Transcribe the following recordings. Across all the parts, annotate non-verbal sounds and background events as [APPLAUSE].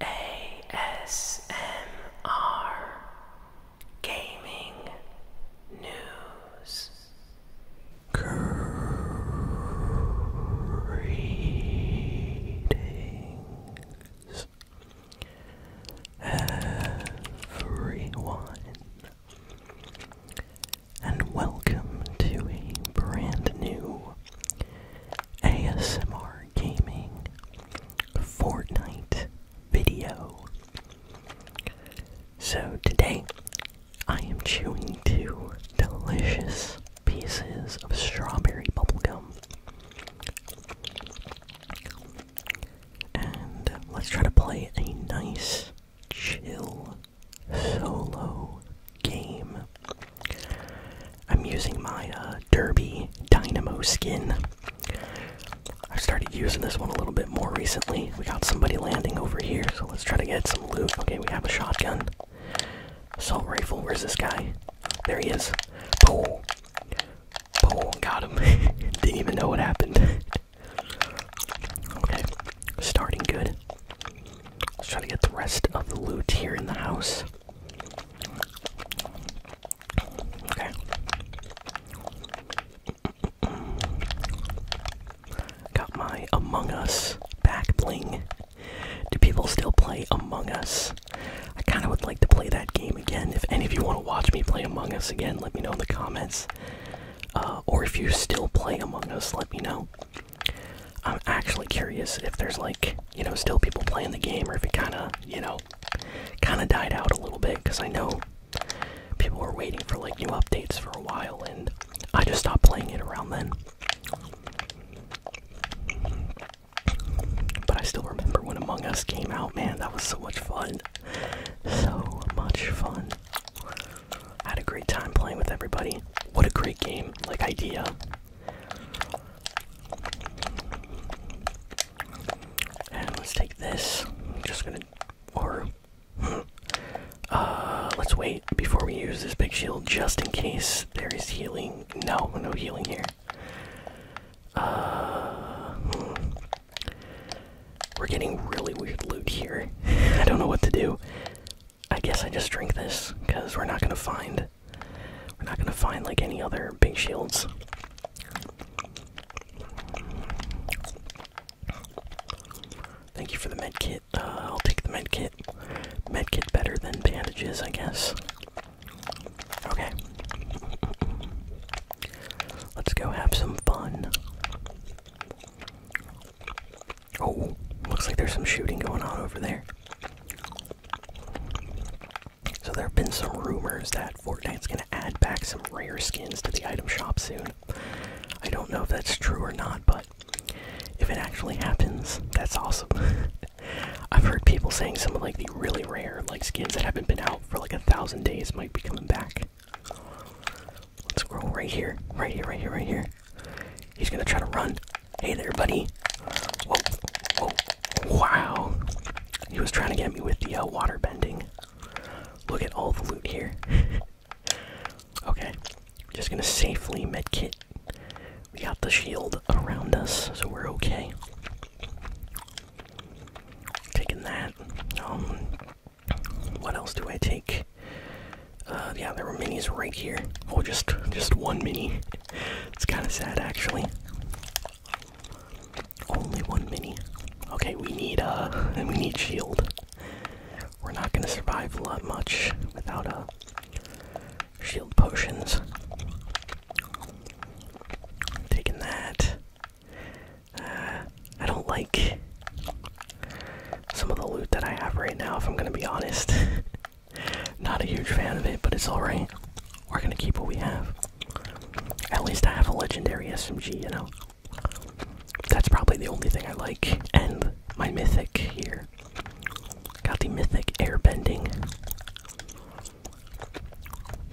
ASMR Gaming News Greetings everyone and welcome to a brand new ASMR Gaming Fortnite video. So today I am chewing two delicious pieces of strawberry bubblegum. And let's try to play a nice, chill, solo game. I'm using my uh, Derby Dynamo skin. I've started using this one a little bit more recently. We got somebody landing over here, so let's try to get some loot. Okay, we have a shotgun. Assault rifle, where's this guy? There he is. Boom. Boom, got him. [LAUGHS] Didn't even know what happened. [LAUGHS] okay, starting good. Let's try to get the rest of the loot here in the house. Okay. Got my Among Us back bling. Do people still play Among Us? I kind of would like to play that game again. If any of you want to watch me play Among Us again, let me know in the comments. Uh, or if you still play Among Us, let me know. I'm actually curious if there's like, you know, still people playing the game or if it kind of, you know, kind of died out a little bit because I know people were waiting for like new updates for a while and I just stopped playing it around then. But I still remember when Among Us came out, man, that was so much fun. So much fun. had a great time playing with everybody. What a great game, like idea. And let's take this. I'm just gonna. Or. [GASPS] uh, let's wait before we use this big shield just in case there is healing. No, no healing here. Uh, hmm. We're getting really weird loot here. [LAUGHS] I don't know what to do. I guess I just drink this because we're not gonna find we're not gonna find like any other big shields. Thank you for the med kit. Uh, I'll take the med kit. Med kit better than bandages, I guess. Okay. Let's go have some fun. Oh, looks like there's some shooting going on over there. So there have been some rumors that Fortnite is gonna add back some rare skins to the item shop soon. I don't know if that's true or not, but if it actually happens, that's awesome. [LAUGHS] I've heard people saying some of like the really rare like skins that haven't been out for like a thousand days might be coming back. Let's scroll right here, right here, right here, right here. He's gonna try to run. Hey there, buddy. Whoa, wow. He was trying to get me with the uh, water bending. Look at all the loot here. [LAUGHS] okay, just gonna safely medkit. We got the shield around us, so we're okay. Taking that. Um, what else do I take? Uh, yeah, there were minis right here. Oh, just just one mini. It's kind of sad, actually. Only one mini. Okay, we need uh, we need shield. We're not gonna survive a lot much without uh, shield potions. Taking that. Uh, I don't like some of the loot that I have right now. If I'm gonna be honest. [LAUGHS] Not a huge fan of it, but it's alright. We're gonna keep what we have. At least I have a legendary SMG, you know? That's probably the only thing I like. And my mythic here. Got the mythic airbending.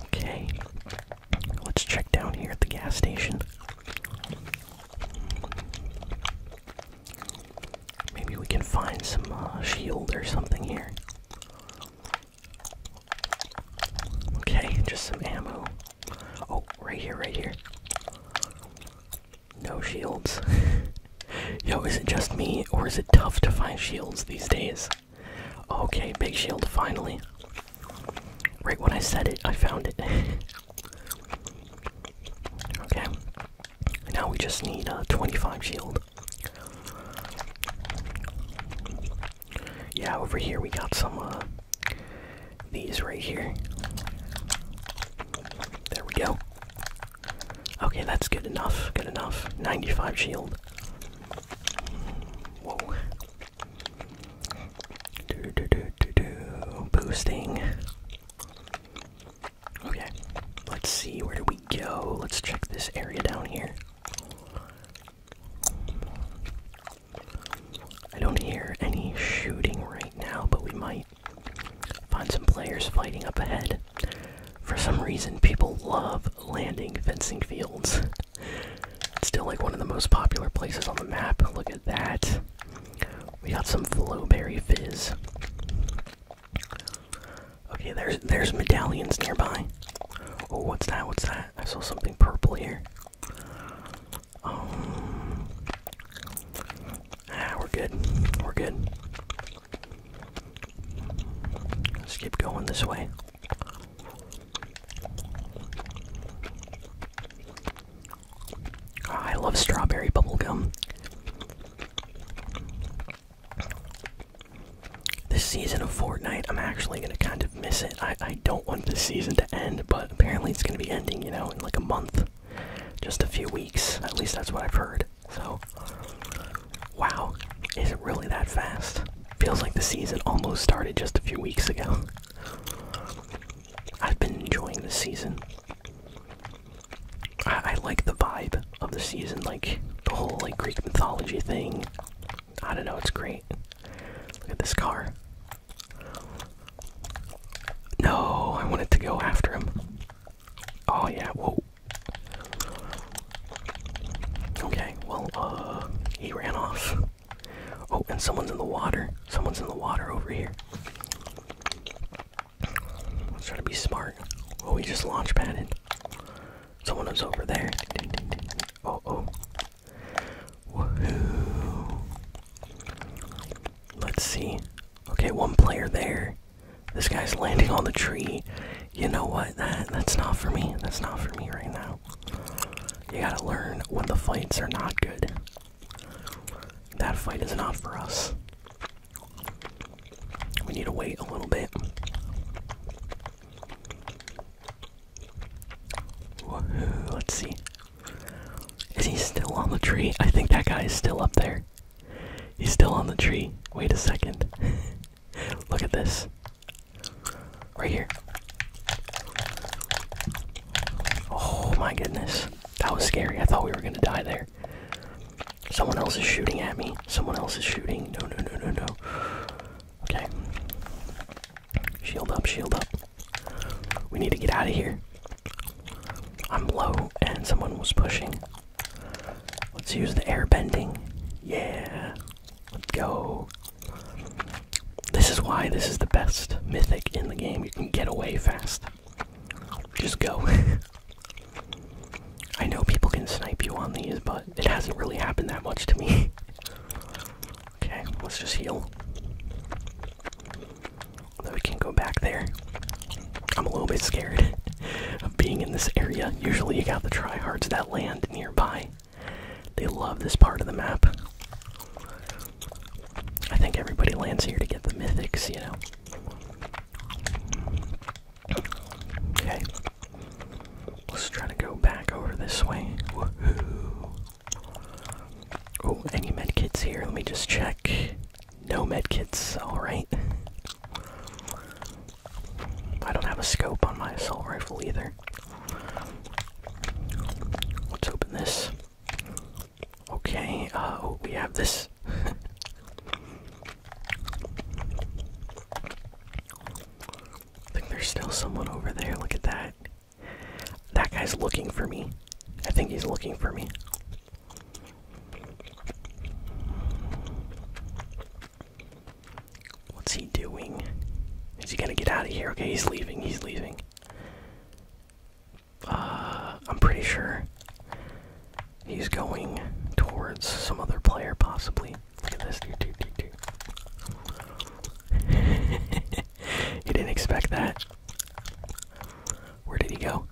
Okay. Let's check down here at the gas station. Maybe we can find some uh, shield or something here. Okay, just some ammo. Oh, right here, right here. No shields. [LAUGHS] Yo, is it just me, or is it tough to find shields these days? Okay, big shield, finally. Right when I said it, I found it. [LAUGHS] okay, now we just need a uh, 25 shield. Yeah, over here we got some uh, these right here. There we go. Okay, that's good enough. Good enough. 95 shield. Whoa. Do, do, do, do, do. Boosting. Okay, let's see, where do we go? Let's check this area down here. I don't hear any shooting right now, but we might find some players fighting up ahead. For some reason, people love landing fencing fields. it's still like one of the most popular places on the map. Look at that. We got some flowberry fizz. Okay, there's there's medallions nearby. Oh, what's that? What's that? I saw something purple here. Um, ah, we're good. We're good. let keep going this way. Ah, I love strawberry bubblegum. This season of Fortnite, I'm actually gonna kind of miss it. I, don't want this season to end, but apparently it's gonna be ending, you know, in like a month. Just a few weeks. At least that's what I've heard. So, wow. Is it really that fast? Feels like the season almost started just a few weeks ago. I've been enjoying this season. I, like the vibe of the season, like the whole like Greek mythology thing. I don't know, it's great. Look at this car. No, I wanted to go after him. Oh yeah, whoa. Okay, well, uh, he ran off. Oh, and someone's in the water. Someone's in the water over here. Let's try to be smart. Oh, we just launch padded. Someone was over there. Oh, oh. Let's see. Okay, one player there. This guy's landing on the tree. You know what? That that's not for me. That's not for me right now. You gotta learn when the fights are not good. That fight is not for us. We need to wait a little bit. let's see. Is he still on the tree? I think that guy is still up there. He's still on the tree. Wait a second. [LAUGHS] Look at this. Right here. Oh my goodness. That was scary. I thought we were gonna die there. Someone else is shooting at me. Someone else is shooting. No, no, no, no, no. Okay. Shield up, shield up. We need to get out of here. I'm low and someone was pushing. Let's use the air bending. Yeah. Let's go. This is why this is the best mythic in the game. You can get away fast. Just go. [LAUGHS] I know people can snipe you on these, but it hasn't really happened that much to me. [LAUGHS] okay, let's just heal. we can go back there. I'm a little bit scared [LAUGHS] of being in this area. Usually you got the tryhards that land nearby. They love this part of the map. I think everybody lands here to get the mythics, you know. Okay. Let's try to go back over this way. Oh, any medkits here? Let me just check. No medkits, alright. I don't have a scope on my assault rifle either. Let's open this. Okay, uh, oh, we have this. I think there's still someone over there. Look at that. That guy's looking for me. I think he's looking for me. What's he doing? Is he gonna get out of here? Okay, he's leaving. He's leaving. Uh, I'm pretty sure he's going towards some other player, possibly. Look at this. [LAUGHS] he didn't expect that. Where did he go?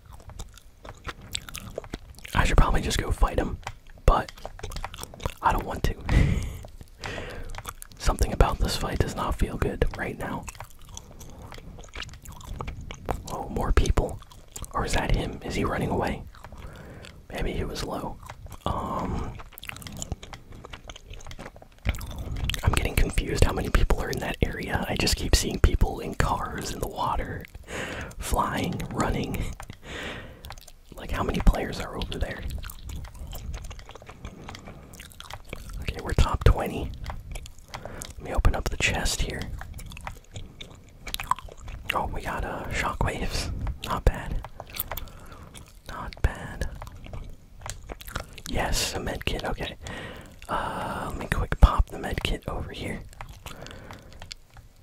I should probably just go fight him, but I don't want to. [LAUGHS] Something about this fight does not feel good right now. Oh, more people. Or is that him? Is he running away? Maybe he was low. Um. I'm getting confused how many people are in that area. I just keep seeing people in cars, in the water, flying, running. like, how many players are over there? Okay, we're top 20. Let me open up the chest here. Oh, we got uh, shockwaves. Not bad. Not bad. Yes, a med kit. Okay. Uh, let me quick pop the med kit over here.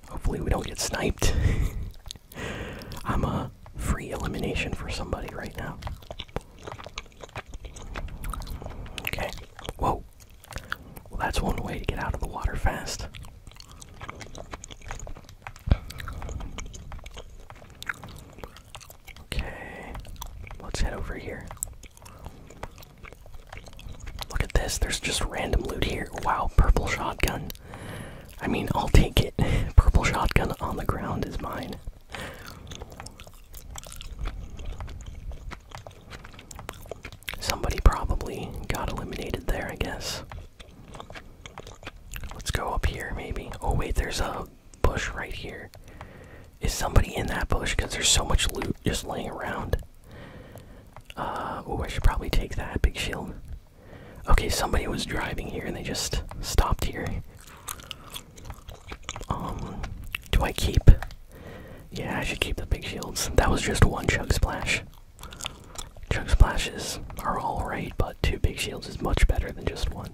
Hopefully, we don't get sniped. [LAUGHS] I'm a free elimination for somebody right now. Okay. Whoa. Well, that's one way to get out of the water fast. Okay, let's head over here. Look at this, there's just random loot here. Wow, purple shotgun. I mean, I'll take it. [LAUGHS] Purple shotgun on the ground is mine. Somebody probably got eliminated there, I guess. Let's go up here, maybe. Oh, wait, there's a bush right here. Is somebody in that bush? Because there's so much loot just laying around. Uh, oh, I should probably take that big shield. Okay, somebody was driving here and they just stopped here. Um, do I keep? Yeah, I should keep the big shields. That was just one chug splash. Chug splashes are alright, but two big shields is much better than just one.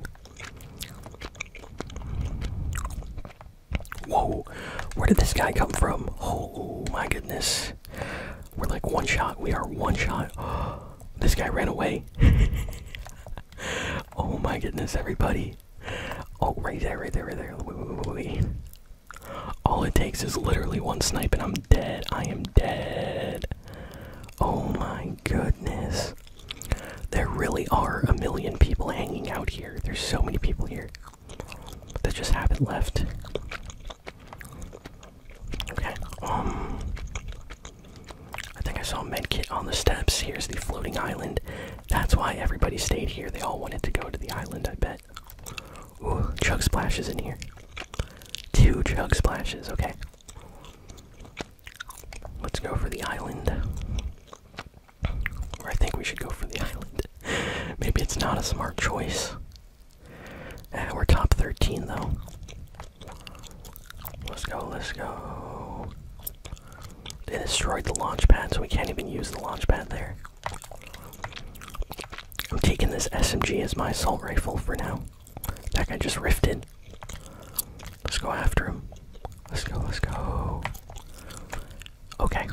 Whoa, where did this guy come from? Oh my goodness. We're like one shot, we are one shot. [GASPS] this guy ran away. [LAUGHS] oh my goodness, everybody. [LAUGHS] oh, right there, right there, right there. All it takes is literally one snipe and I'm dead. I am dead. Oh my goodness. There really are a million people hanging out here. There's so many people here that just haven't left. Okay, um. I think I saw a medkit on the steps. Here's the floating island. That's why everybody stayed here. They all wanted to go to the island, I bet. Ooh, chug splashes in here. Two chug splashes, okay. Let's go for the island. Or I think we should go for the [LAUGHS] island. Maybe it's not a smart choice. Eh, we're top 13 though. Let's go, let's go. They destroyed the launch pad, so we can't even use the launch pad there. I'm taking this SMG as my assault rifle for now. That guy just rifted. Let's go after him. Let's go, let's go. Okay,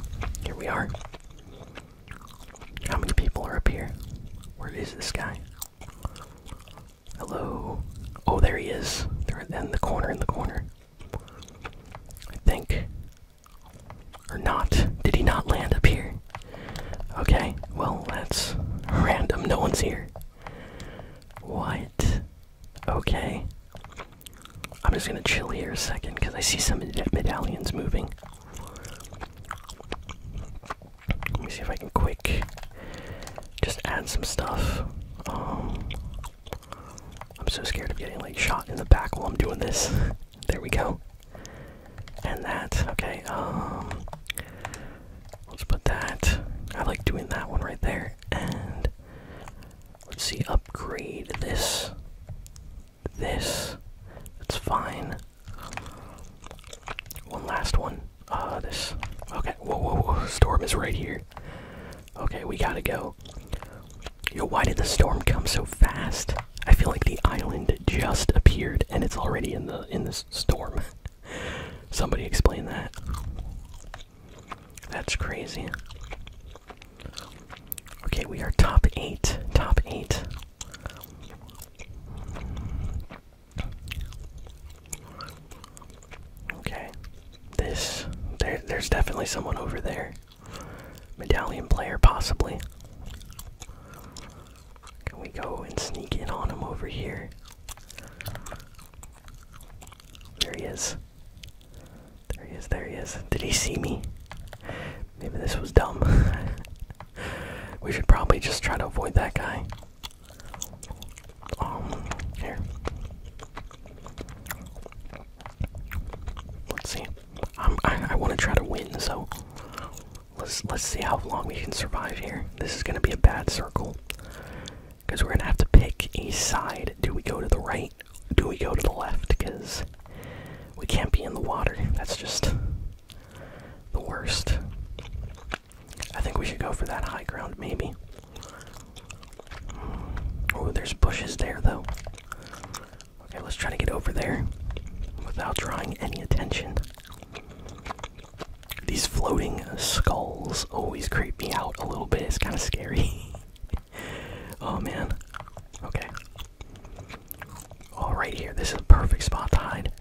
here we are. How many people are up here? Where is this guy? Hello. Oh, there he is. There in the corner, in the corner. I think. Or not. Did he not land up here? Okay, well, let's random. No one's here. What? Okay. I'm just gonna chill here a second because I see some medallions moving. Let me see if I can quick just add some stuff. Um, I'm so scared of getting like shot in the back while I'm doing this. [LAUGHS] there we go. And that. Okay. Um. Let's put that. I like doing that one right there. And let's see. Upgrade this. This. That's fine. One last one. Uh, this. Okay. Whoa, whoa, whoa. Storm is right here. Okay, we gotta go. Yo, why did the storm come so fast? I feel like the island just appeared and it's already in the in the storm. [LAUGHS] Somebody explain that. That's crazy. Okay, we are top eight. Top eight. Okay. This there there's definitely someone over there. Medallion player possibly. Can we go and sneak in on him over here? There he is. There he is, there he is. Did he see me? Maybe this was dumb. [LAUGHS] we should probably just try to avoid that guy. Um, here. Let's see. i I want to try to win, so let's let's see how long we can survive here. This is gonna be a bad circle because we're gonna have to pick a side. Do we go to the right? Do we go to the left? Because we can't be in the water. That's just the worst. I think we should go for that high ground, maybe. Oh, there's bushes there, though. Okay, let's try to get over there without drawing any attention. These floating skulls always creep me out a little bit. It's kind of scary. [LAUGHS] oh, man. Okay. All right, here. This is a perfect spot to hide.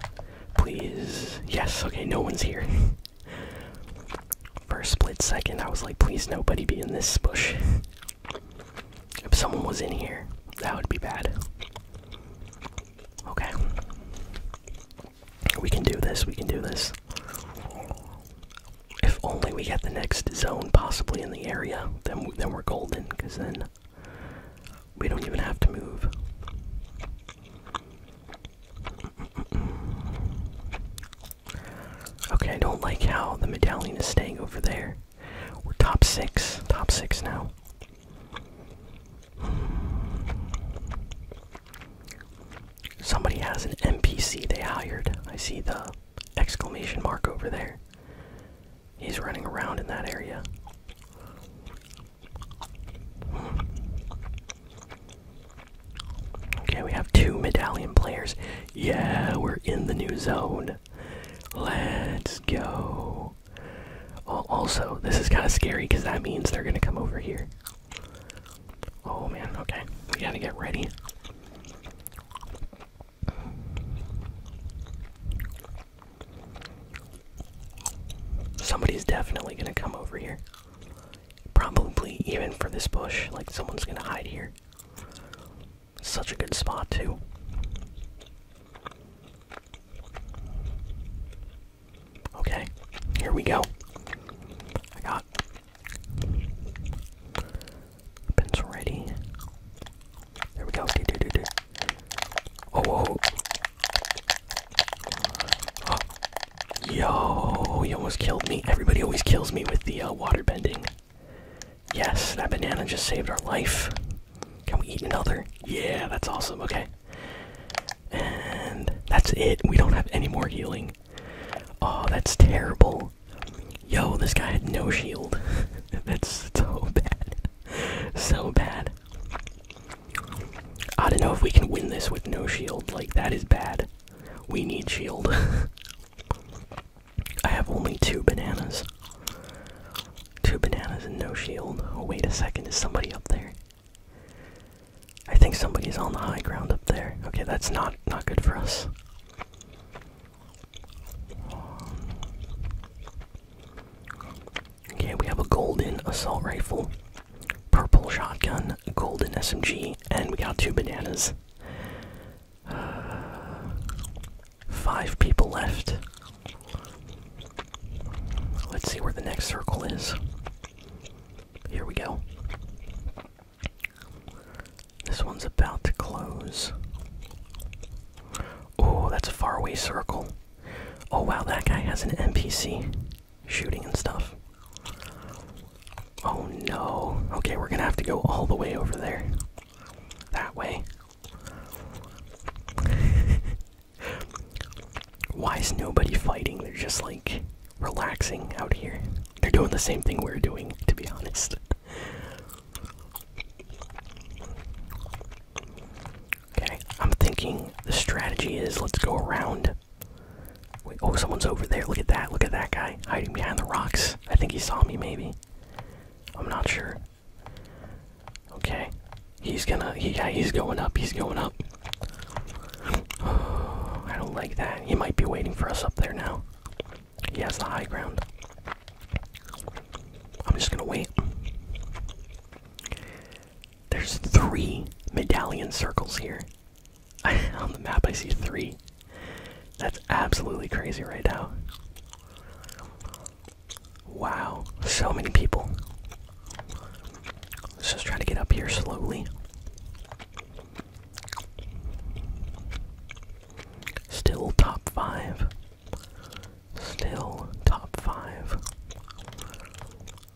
Please. Yes, okay, no one's here. [LAUGHS] For a split second, I was like, please nobody be in this bush. if someone was in here, that would be bad. Okay. We can do this, we can do this. If only we get the next zone possibly in the area, then, then we're golden, because then we don't even have to move. Okay, I don't like how the medallion is staying over there. We're top six. Top six now. Somebody has an NPC they hired. I see the exclamation mark over there. He's running around in that area. Okay, we have two medallion players. Yeah, we're in the new zone. Let's go. Oh, also, this is kind of scary because that means they're going to come over here. Oh man, okay. We gotta get ready. Somebody's definitely gonna come over here. Probably even for this bush, like someone's gonna hide here. Such a good spot, too. Okay, here we go. I got weapons ready. There we go. Oh. oh. Yo, he almost killed me. Everybody always kills me with the uh, water bending. Yes, that banana just saved our life. Can we eat another? Yeah, that's awesome. Okay. And that's it. We don't have any more healing. Oh, that's terrible. Yo, this guy had no shield. [LAUGHS] that's so bad. so bad. I don't know if we can win this with no shield. Like, that is bad. We need shield. [LAUGHS] I have only two bananas. Two bananas and no shield. Oh, wait a second, is somebody up there? I think somebody is on the high ground up there. Okay, that's not not good for us. Okay, we have a golden assault rifle, purple shotgun, golden SMG, and we got two bananas. Uh, five people left. Let's see where the next circle is. Here we go. This one's about to close. Oh, that's a faraway circle. Oh wow, that guy has an NPC shooting and stuff. Oh no. Okay, we're gonna have to go all the way over there. That way. [LAUGHS] Why is nobody fighting? They're just like relaxing out here. They're doing the same thing we're doing, to be honest. [LAUGHS] okay, I'm thinking the strategy is let's go around oh, someone's over there. Look at that. Look at that guy hiding behind the rocks. I think he saw me, maybe. I'm not sure. Okay. He's gonna. yeah, he's going up. He's going up. [SIGHS] I don't like that. He might be waiting for us up there now. He has the high ground. I'm just gonna wait. There's three medallion circles here. [LAUGHS] on the map, I see three. That's absolutely crazy right now. Wow, so many people. Let's just try to get up here slowly. Still top five. Still top five.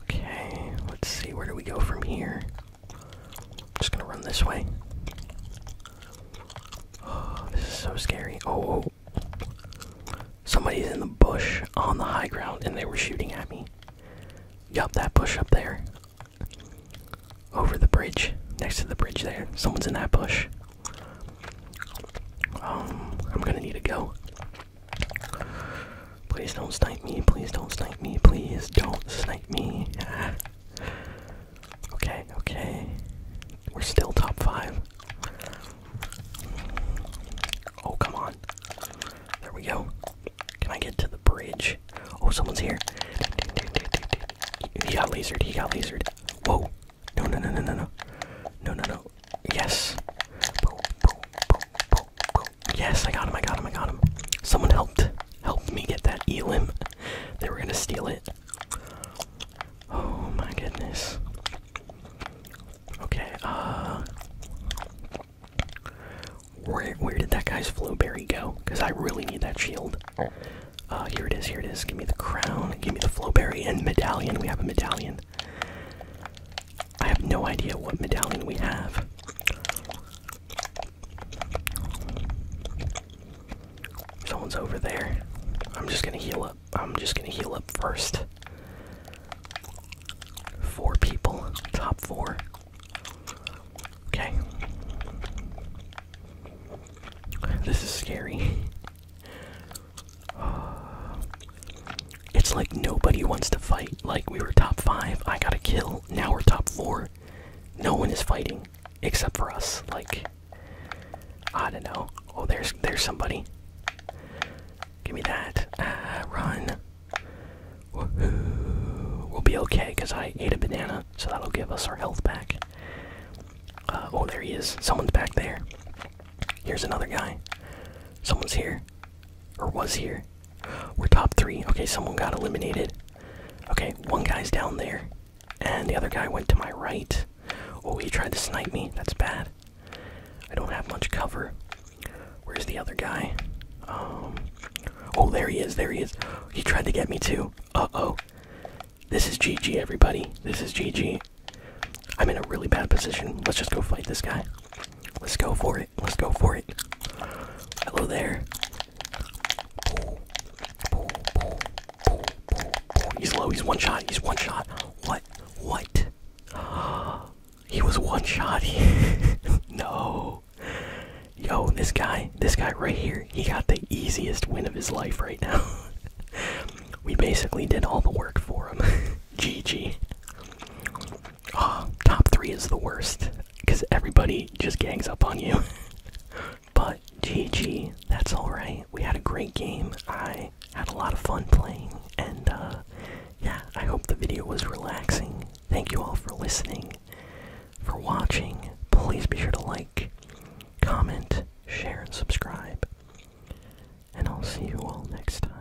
Okay, let's see, where do we go from here? I'm just gonna run this way. Oh, this is so scary. Oh, oh, somebody's in the bush on the high ground and they were shooting at me. Yup, that bush up there. Over the bridge, next to the bridge there. Someone's in that bush. Um, I'm gonna need to go. Please don't snipe me, please don't snipe me, please don't snipe me. [SIGHS] okay, okay. We're still top five. Oh, come on. There we go. Can I get to the bridge? Oh, someone's here. He got lasered, he got lasered. Whoa. No, no, no, no, no, no. No, no, no. Yes. Yes, I got him, I got him, I got him. Someone helped helped me get that elim. They were gonna steal it. Oh my goodness. Okay, uh where where did that guy's flowberry go? Because I really need that shield. Uh here it is, here it is. Give me the crown, give me the flowberry and medallion. We have a medallion. I have no idea what medallion we have. Someone's over there. I'm just gonna heal up. I'm just gonna heal up first. Four people, top four. Okay. This is scary. [SIGHS] It's like nobody wants to fight. Like, we were top five. I got to kill now we're top four. No one is fighting except for us. Like I don't know. Oh, there's there's somebody. Give me that. Ah, run. Woohoo. We'll be okay because I ate a banana, so that'll give us our health back. Uh, oh, there he is. Someone's back there. Here's another guy. Someone's here. Or was here. We're top three. Okay, someone got eliminated. Okay, one guy's down there. And the other guy went to my right. Oh, he tried to snipe me. That's bad. I don't have much cover. Where's the other guy? Um. Oh, there he is. There he is. He tried to get me too. Uh oh. This is GG, everybody. This is GG. I'm in a really bad position. Let's just go fight this guy. Let's go for it. Let's go for it. Hello there. He's low. He's one shot. He's one shot. What? What? [GASPS] he was one shot. [LAUGHS] no. Yo, this guy, this guy right here, he got the easiest win of his life right now. [LAUGHS] we basically did all the work for him. GG. [LAUGHS] Oh, [GASPS] top three is the worst because everybody just gangs up on you. [LAUGHS] but GG, that's alright. We had a great game. I had a lot of fun playing, and uh, yeah, I hope the video was relaxing. Thank you all for listening, for watching. Please be sure to like, comment, share, and subscribe. And I'll see you all next time.